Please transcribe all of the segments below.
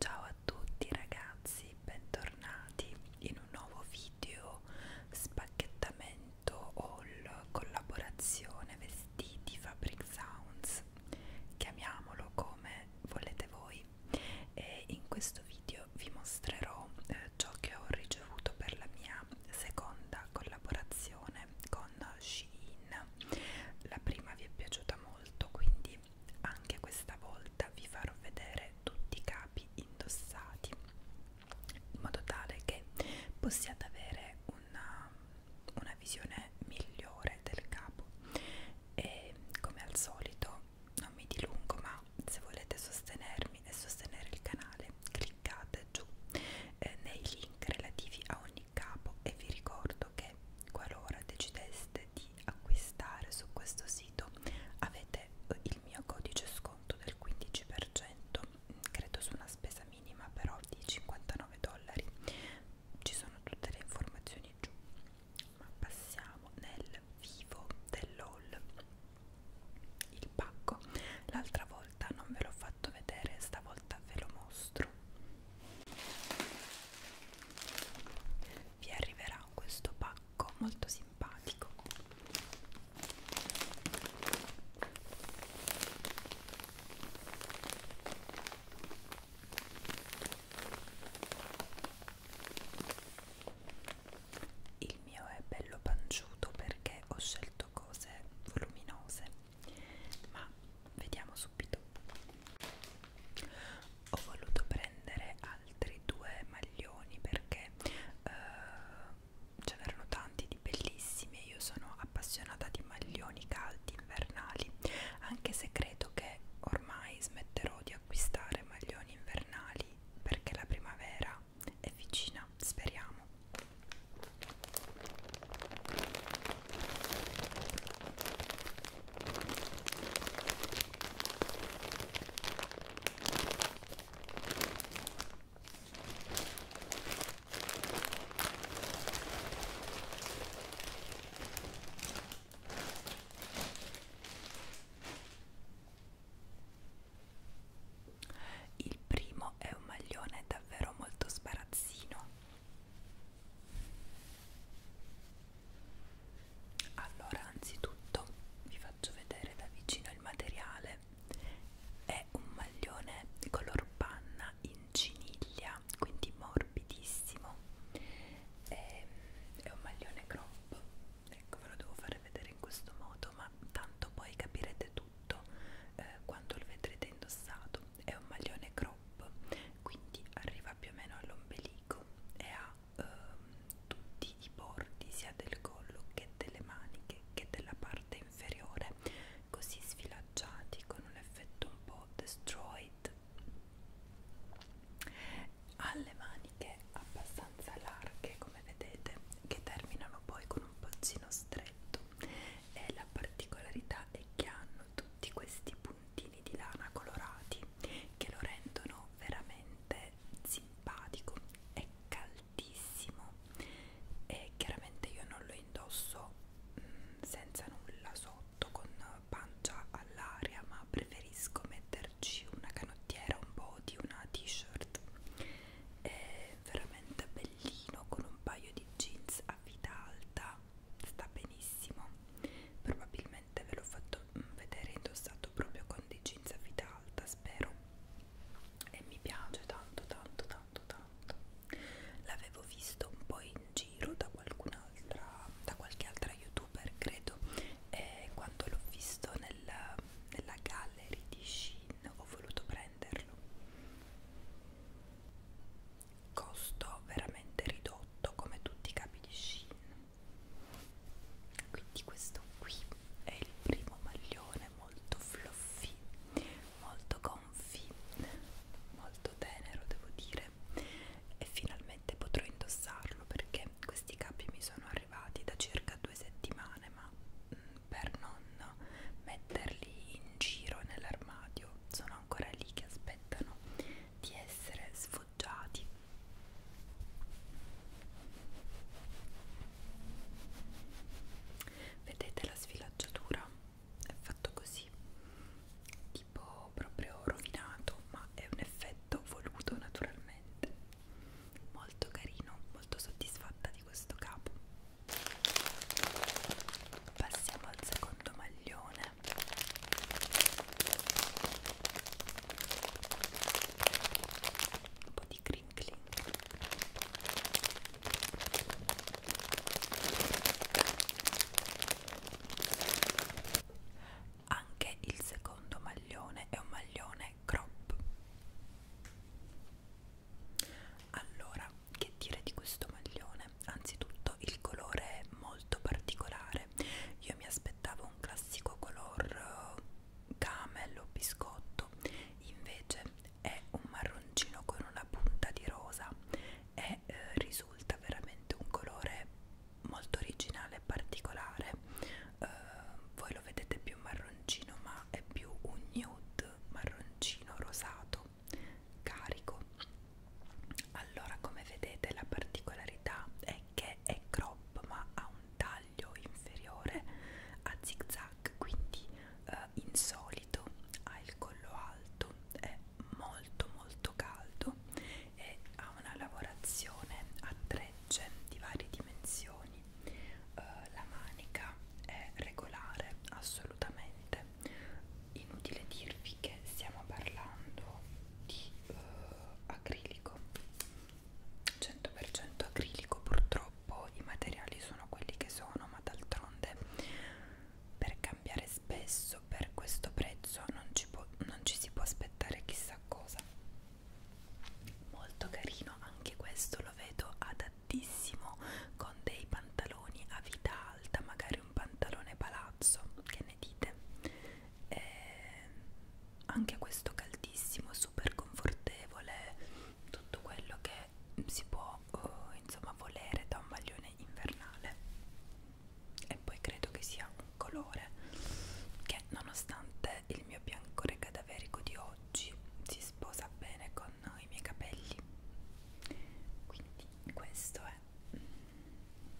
Ciao a tutti ragazzi, bentornati in un nuovo video spacchettamento haul collaborazione vestiti Fabric Sounds chiamiamolo come volete voi e in questo video vi mostrerò eh, ciò che ho ricevuto per la mia seconda collaborazione con Shein. La prima vi è piaciuta molto, quindi anche questa volta vi farò vedere tutti i capi indossati in modo tale che possiate avere una, una visione migliore del capo e come al solito non mi dilungo ma se volete sostenermi e sostenere il canale cliccate giù eh, nei link relativi a ogni capo e vi ricordo che qualora decideste di acquistare su questo sito avete eh, il mio codice sconto del 15% credo su una spesa minima però di 59 dollari ci sono tutte le informazioni giù ma passiamo nel vivo dell'haul il pacco l'altra volta non ve l'ho fatto vedere stavolta ve lo mostro vi arriverà questo pacco molto simpatico il mio è bello panciuto perché ho scelto cose voluminose, ma vediamo subito. Ho voluto prendere altri due maglioni perché eh, ce n'erano tanti di bellissimi. Io sono appassionata di maglioni caldi invernali, anche se credo che ormai smetterò di di acquistare maglioni invernali perché la primavera è vicina, speriamo. Il primo è un maglione davvero molto sbarazzino. Allora, anzitutto vi faccio vedere da vicino il materiale. È un maglione di color panna in ciniglia, quindi morbidissimo è, ehm, è un maglione crop ecco ve lo devo fare vedere in questo modo ma tanto poi capirete tutto eh, quando lo vedrete indossato è un maglione crop quindi arriva più o meno all'ombelico e ha eh, tutti i bordi sia del collo che delle maniche che della parte inferiore così sfilacciati con un effetto un po' destroyed ha le maniche abbastanza larghe come vedete che terminano poi con un pozzino stretto e la particolarità è che hanno tutti questi puntini di lana colorati che lo rendono veramente simpatico è caldissimo e chiaramente io non lo indosso senza nulla sotto con pancia all'aria ma preferisco metterci una canottiera un po' di una t-shirt è veramente bellino con un paio di jeans a vita alta sta benissimo probabilmente ve l'ho fatto mm, vedere indossato proprio con dei jeans a vita alta spero e mi piace tanto tanto tanto tanto l'avevo visto un po' in giro da qualcun'altra, da qualche altra youtuber credo, e quando l'ho visto nella, nella gallery di Shein ho voluto prenderlo. Costo veramente ridotto come tutti i capi di Shein. Quindi questo qui è il primo maglione molto fluffy, molto gonfi, molto tenero devo dire piacere e finalmente potrò indossarlo perché questi capi mi sono arrivati da circa due settimane ma mh, mm, per non metterli in giro nell'armadio sono ancora lì che aspettano di essere sfoggiati vedete la sfilacciatura è fatto così tipo proprio rovinato ma è un effetto voluto naturalmente molto carino molto soddisfatta di questo capo passiamo al secondo maglione un po' di crinkling anche il secondo maglione è un maglione crop. Allora, che dire di questo maglione? Anzitutto il colore è molto particolare. Io mi aspettavo un classico color eh, camel o biscotto, invece è un marroncino con una punta di rosa e eh, risulta veramente un colore molto originale e particolare eh, voi lo vedete più marroncino ma è più un nude marroncino rosato carico allora come vedete la particolarità è che è crop ma ha un taglio inferiore a zig zag quindi eh, insolito, ha il collo alto, è molto molto caldo e ha una lavorazione a trecce di varie dimensioni. Uh, la manica è regolare, assolutamente. Inutile dirvi che stiamo parlando di uh, acrilico, 100% acrilico purtroppo purtroppo i materiali sono quelli che sono, ma d'altronde per cambiare spesso per questo prezzo non ci, può, non ci si può aspettare chissà cosa. Molto carino, anche questo lo vedo adattissimo con dei pantaloni a vita alta, magari un pantalone palazzo, che ne dite? Eh, anche questo caldissimo, super confortevole tutto quello che si può uh, insomma volere da un maglione invernale e poi credo che sia un colore che nonostante il mio biancore cadaverico di oggi si sposa bene con i miei capelli quindi questo è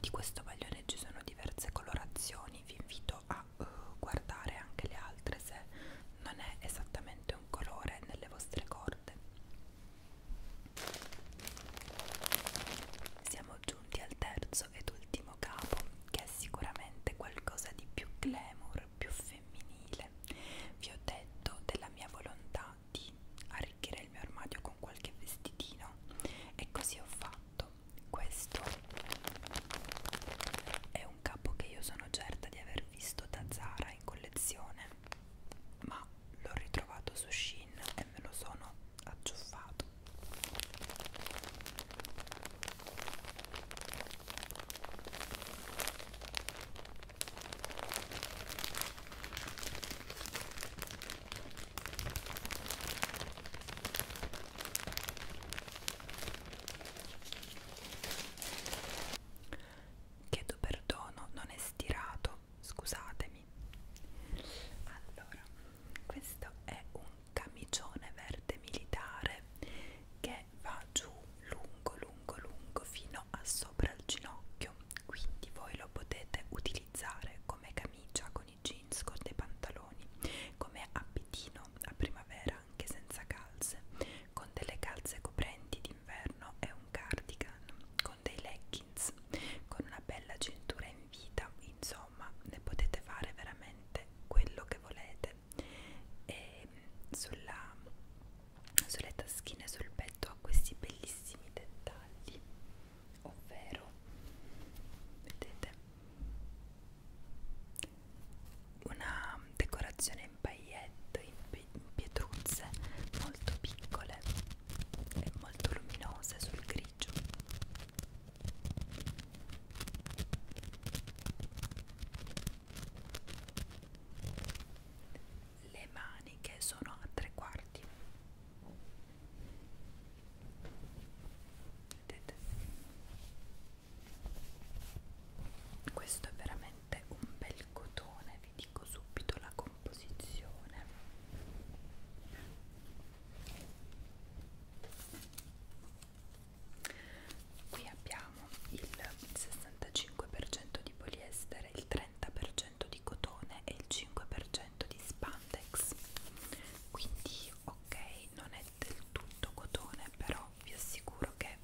di questo maglione ci sono diverse colorazioni vi invito a uh, guardare anche le altre se non è esattamente un colore nelle vostre corde. Siamo giunti al terzo ed ultimo capo, che è sicuramente qualcosa di più glamour, più femminile. Vi ho detto della mia volontà di arricchire il mio armadio con qualche vestitino e così ho fatto. Questo è un capo che io sono certa di aver visto da Zara in collezione, ma l'ho ritrovato su Shin e me lo sono acciuffato. Chiedo perdono, non è stirato, scusatemi. Allora, questo è un camicione verde militare che va giù lungo, lungo, lungo fino a sopra il ginocchio. Quindi voi lo potete utilizzare come camicia con i jeans, con dei pantaloni, come abitino a primavera anche senza calze con delle calze coprenti d'inverno e un cardigan, con dei leggings, con una bella cintura in vita, insomma ne potete fare veramente quello che volete. E sulla, sulle taschine, sul petto ha questi bellissimi dettagli, ovvero, vedete? una decorazione in paillette, in pietruzze molto piccole e molto luminose sul grigio. Le maniche sono a tre quarti. Vedete? questo è veramente un bel cotone vi dico subito la composizione qui abbiamo il 65% di poliestere il 30% di cotone e il 5% di spandex quindi ok non è del tutto cotone però vi assicuro che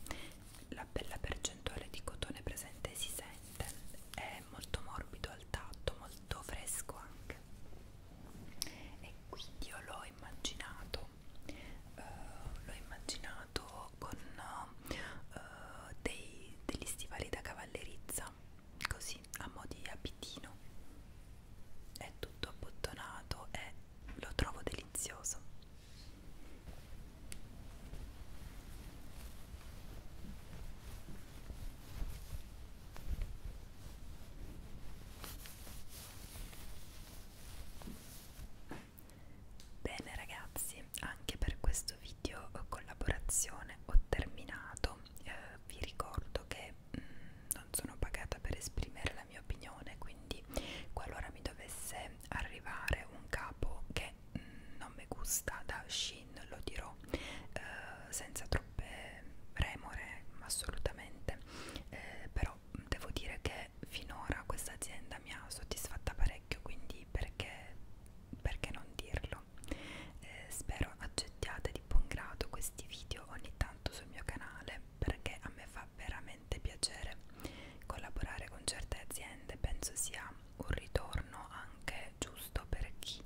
la bella percentuale di cotone presente si sente è molto morbido al tatto molto fresco anche e quindi io l'ho immaginato eh, l'ho immaginato con eh, dei, degli stivali da cavallerizza così a mo' di abitino è tutto abbottonato e lo trovo delizioso Bene ragazzi, anche per questo video eh, collaborazione ho terminato. Eh, vi ricordo che mh, non sono pagata per esprimere la mia opinione, quindi qualora mi dovesse arrivare un capo che mh, mm, non mi gusta da Shin, lo dirò eh, senza troppe remore, assolutamente, eh, però devo dire che finora questa azienda mi ha soddisfatta parecchio, quindi perché, perché non dirlo? Eh, spero accettiate di buon grado questi video ogni tanto tanto sul mio canale perché a me fa veramente piacere collaborare con certe aziende, penso sia un ritorno anche giusto per chi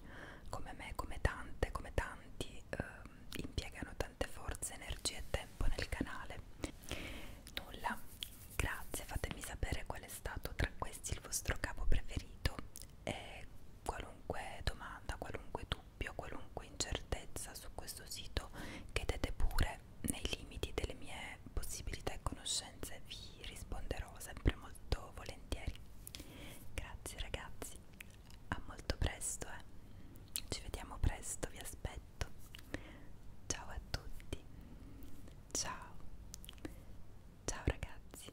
come me, come tante, come tanti eh, impiegano tante forze, energie e tempo nel canale. Nulla, grazie, fatemi sapere qual è stato tra questi il vostro capo preferito e qualunque domanda, qualunque dubbio dubbio, qualunque incertezza su questo sito, chiedete pure nei limiti delle mie possibilità e conoscenze, vi risponderò sempre molto volentieri. Grazie ragazzi, a molto presto, eh. ci vediamo presto, vi aspetto. Ciao a tutti, ciao, ciao ragazzi.